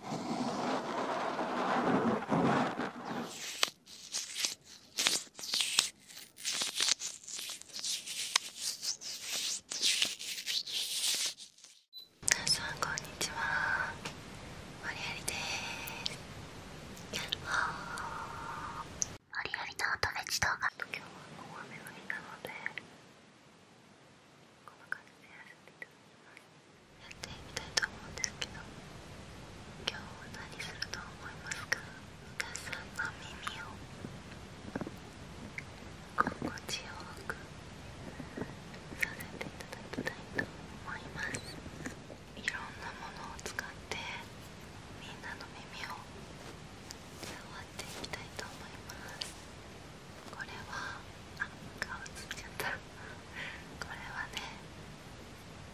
こんにちはマリアリですマリアリの音フェチ動画今日は大雨が降ったのでこの感じでやらていきってみたいと思うんですけど今日何すると思いますか皆さんの耳を心地よくさせていただきたいと思いますいろんなものを使ってみんなの耳を触っていきたいと思います。これはあ顔つっちゃったこれはね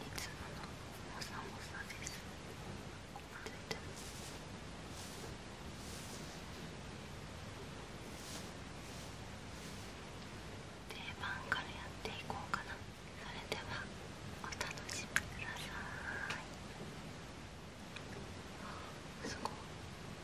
いつものモサモサですついてる定番からやっていこうかなそれではお楽しみくださいすごい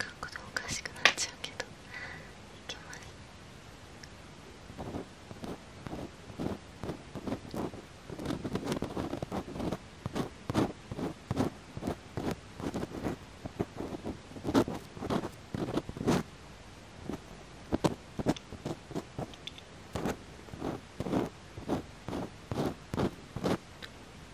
書くのおかしくなっちゃうけどいきますこ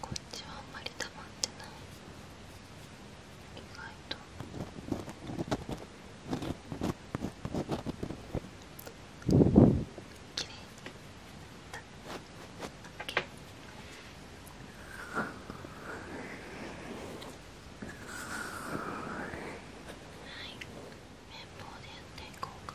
こっちはあんまり溜まってない意外ときれいにだっけはい綿棒でやっていこうか。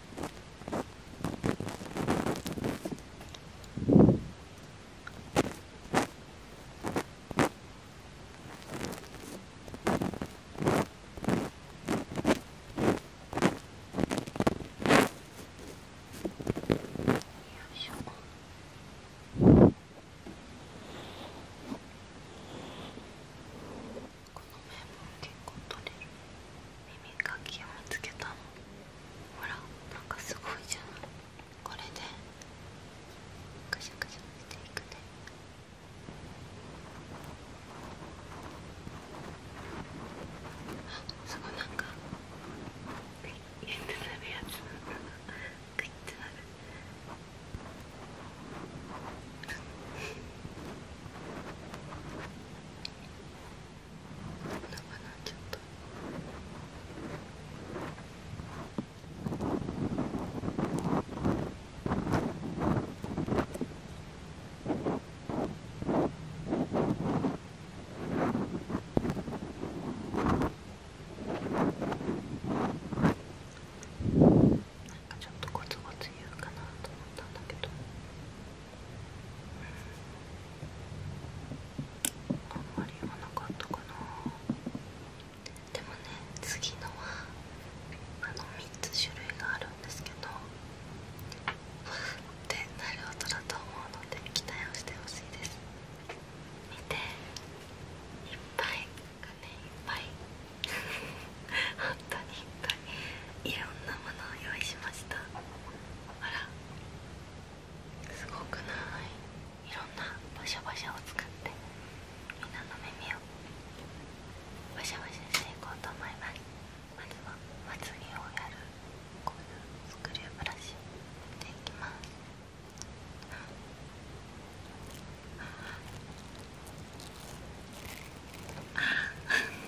結構取れる耳かきを見つけたの。ほらなんかすごいじゃないこれでカシャカシャしていくねあそこなんかクイッてなるやつグイッてなるあ なっちゃったなかちょっとゴツゴツ言うかなと思ったんだけど。あんまり言わなかったかなでもね次のはあの3つ種類があるんですけどふってなる音だと思うので期待をしてほしいです見ていっぱいがねいっぱい 本当にいっぱいいろんなものを用意しました。すごくないいろんなバシャバシャを使ってみんなの耳をバシャバシャしていこうと思いますまずはまつげをやるこういうスクリューブラシていきますあ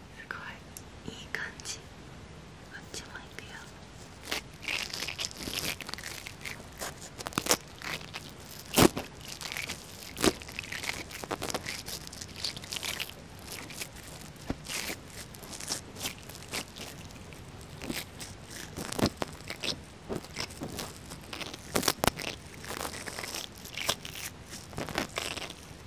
すごいいい感じこっちもいくよ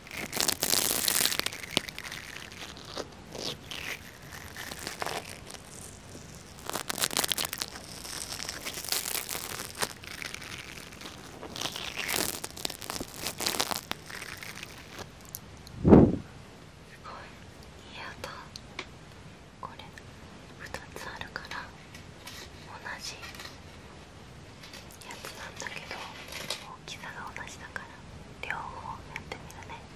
いい音これ2つあるから同じやつなんだけど大きさが同じだから。両方やってみるね「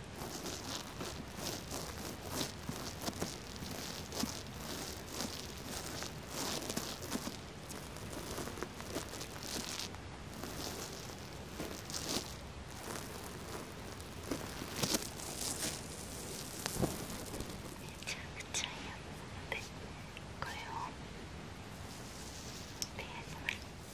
ちゃいやつなのでこれをペアしま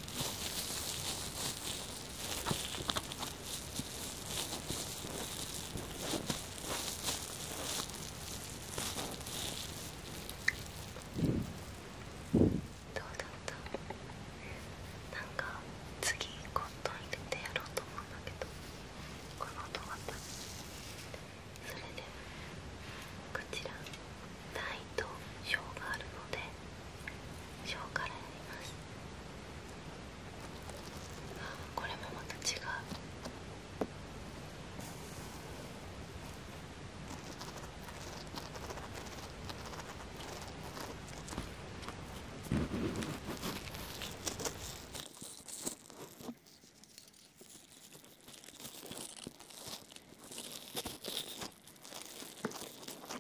どうだったなんか次コットン入れてやろうと思うんだけどこの音がったそれでこちらタとシがあるので小からやりますあこれもまた違うこ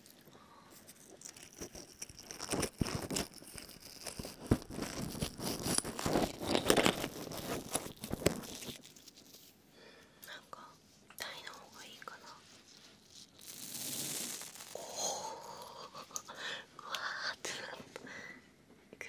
なんか台の方がいいかなおおうわーってなっいくよ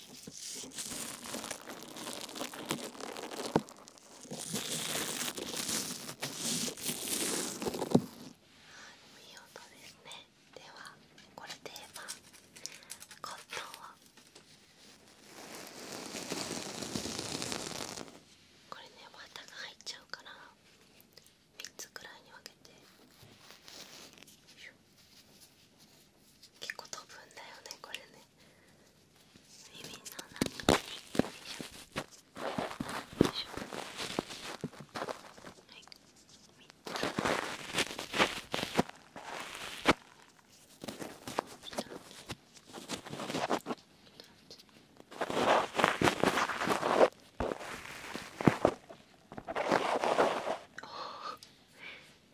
いい音ですねではこれで言えこれね綿が入っちゃうから3つくらいに分けて。よいしょ結構飛ぶんだよねこれねおそ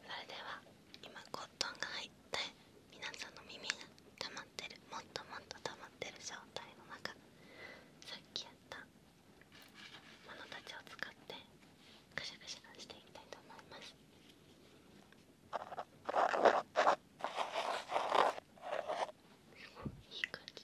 れでは今コットンが入って皆さんの耳が溜まってるもっともっと溜まってる状態の中さっきやったものたちを使ってカシャカシャしていきたいと思います。いい感じ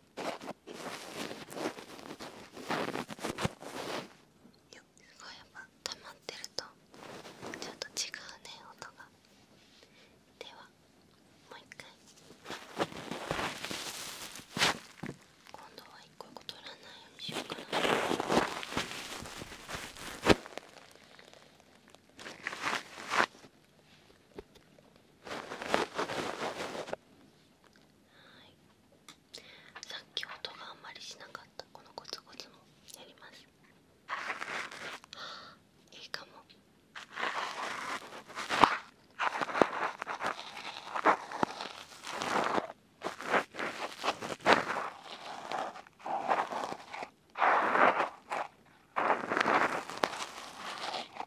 ごいやっぱ溜まってるとちょっと違うね音がではもう一回今度は一個一個取らないようにしようかなよはいさっき音があんまりしなかったこのコツコツもやりますあいいかも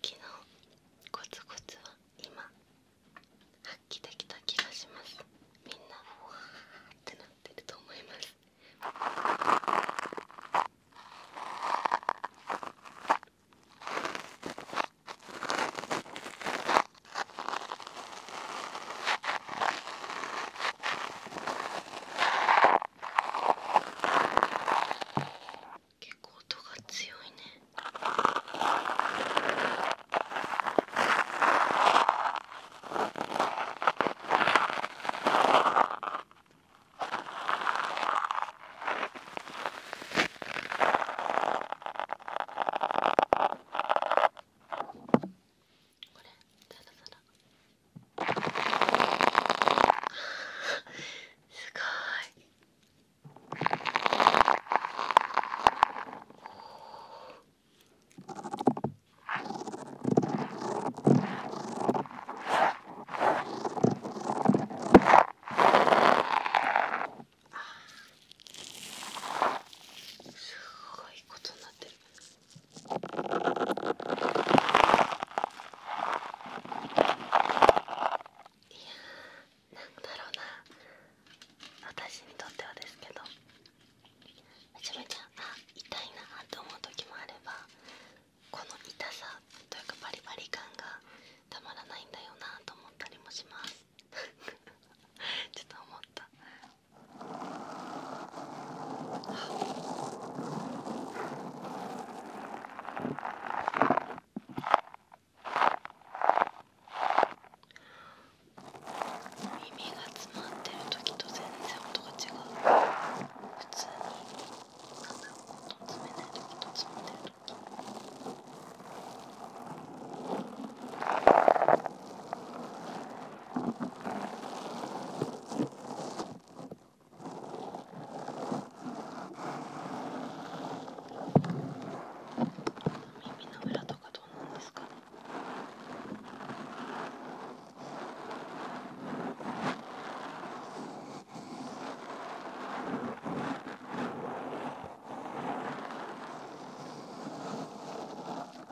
きのコツコツは今発揮できた気がしますみんなわーってなってると思います結構音が強いね。これすごいすごいことになってるいやーなんだろうな私にとってはですけどめちゃめちゃあ痛いなって思う時もあればこの痛さというかバリバリ感がたまらないんだよなと思ったりもしますちょっと思った耳が詰まってる時と全然音が違う普通に鼻を音詰めない時と詰まってる時耳の裏とかどうなんですかねね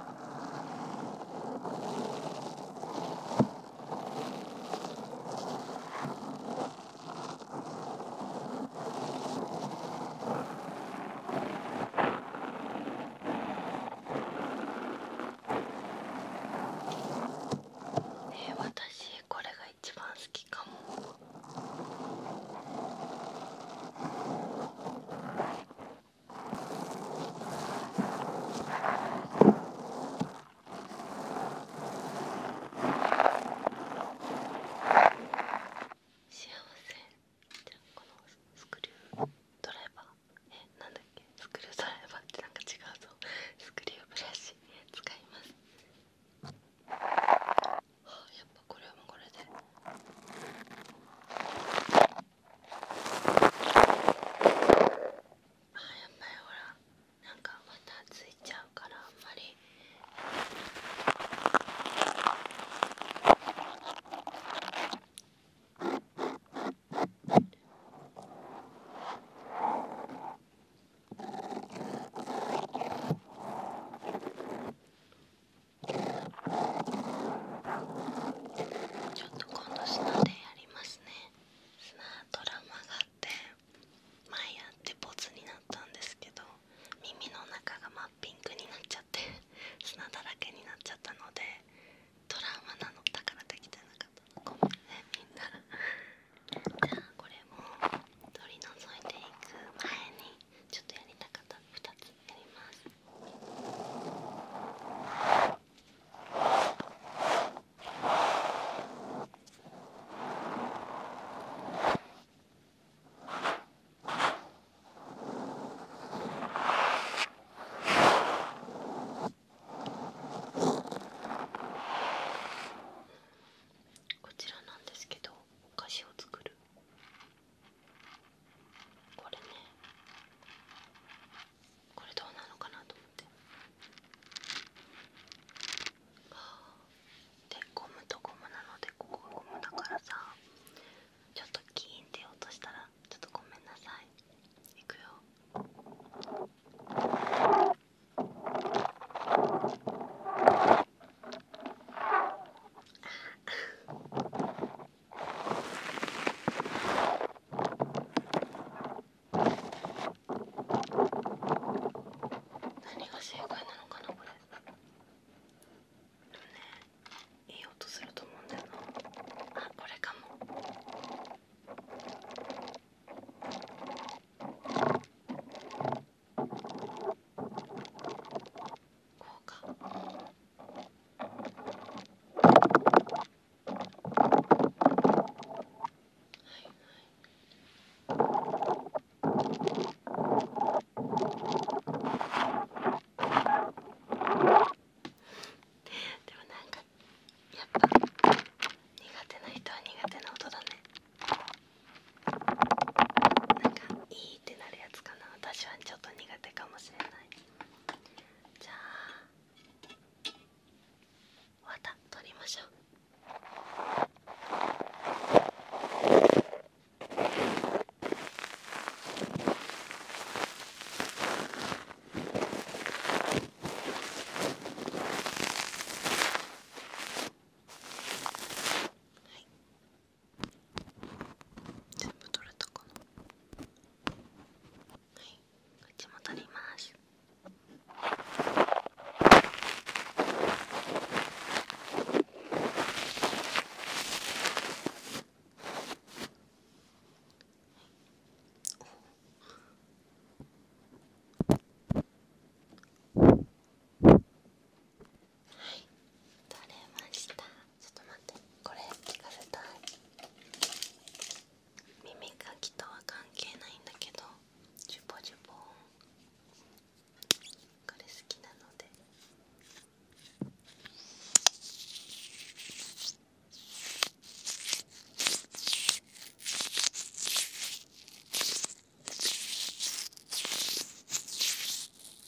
え私これが一番好きかも。幸せじゃこのスクリュードライバーえなんだっけスクリュードライバーってなんか違うぞスクリューブラシ使いますあやっぱこれもこれで。あやっぱりほらなんかまたついちゃうからあんまりうん。ちょっと今度砂でやりますね砂トラマがあって前やってボツになったんですけど耳の中が真っピンクになっちゃって砂だらけになっちゃったのでトラウマなのだからできてなかったのごめんねみんなじゃあこれも取り除いていく前にちょっとやりたかったこちらなんですけどお菓子を作るこれねこれどうなのかなと思ってあでゴムとゴムなのでここゴムだからさちょっとキーンって落としたらちょっとごめんなさいいくよ何が正解なのかなこれいい音すると思うんだよなあこれかもこうかはいはでもなんかやっぱ苦手な人は苦手な音だね。なんかいいってなるやつかな私はちょっと苦手かもしれないじゃあまた取りましょうはい全部取れたかなはいこっちも取りますはい、はい取れましたちょっと待ってこれ聞かせたい耳かきとは関係ないんだけどジュポジュポこれ好きなので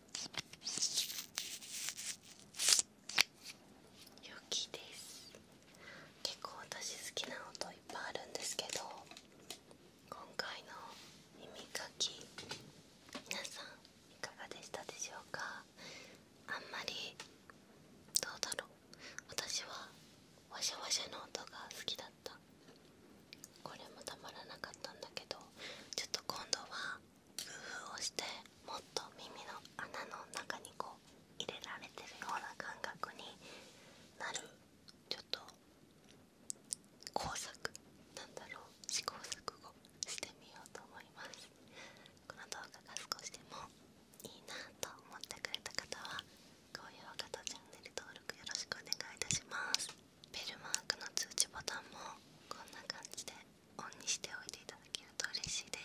良きです結構私好きな音いっぱいあるんですけど今回の耳かき皆さんいかがでしたでしょうかあんまりどうだろう私はわしゃわしゃの音が好きだったこれもたまらなかったんだけどちょっと今度は工夫をしてもっと耳の穴の中にこう入れられてるような感覚になるちょっと工作なんだろう試行錯誤してみようと思いますこの動画が少しでもいいなと思ってくれた方は高評価とチャンネル登録よろしくお願いいたしますベルマークの通知ボタンもこんな感じでオンにしておいていただけると嬉しいで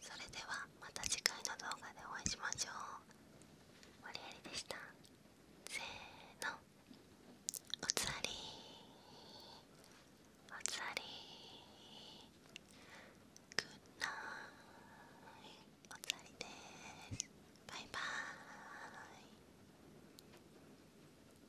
すそれではまた次回の動画でお会いしましょう森やりでしたせーのおつありおつありーグッナイおつありですバイバーイ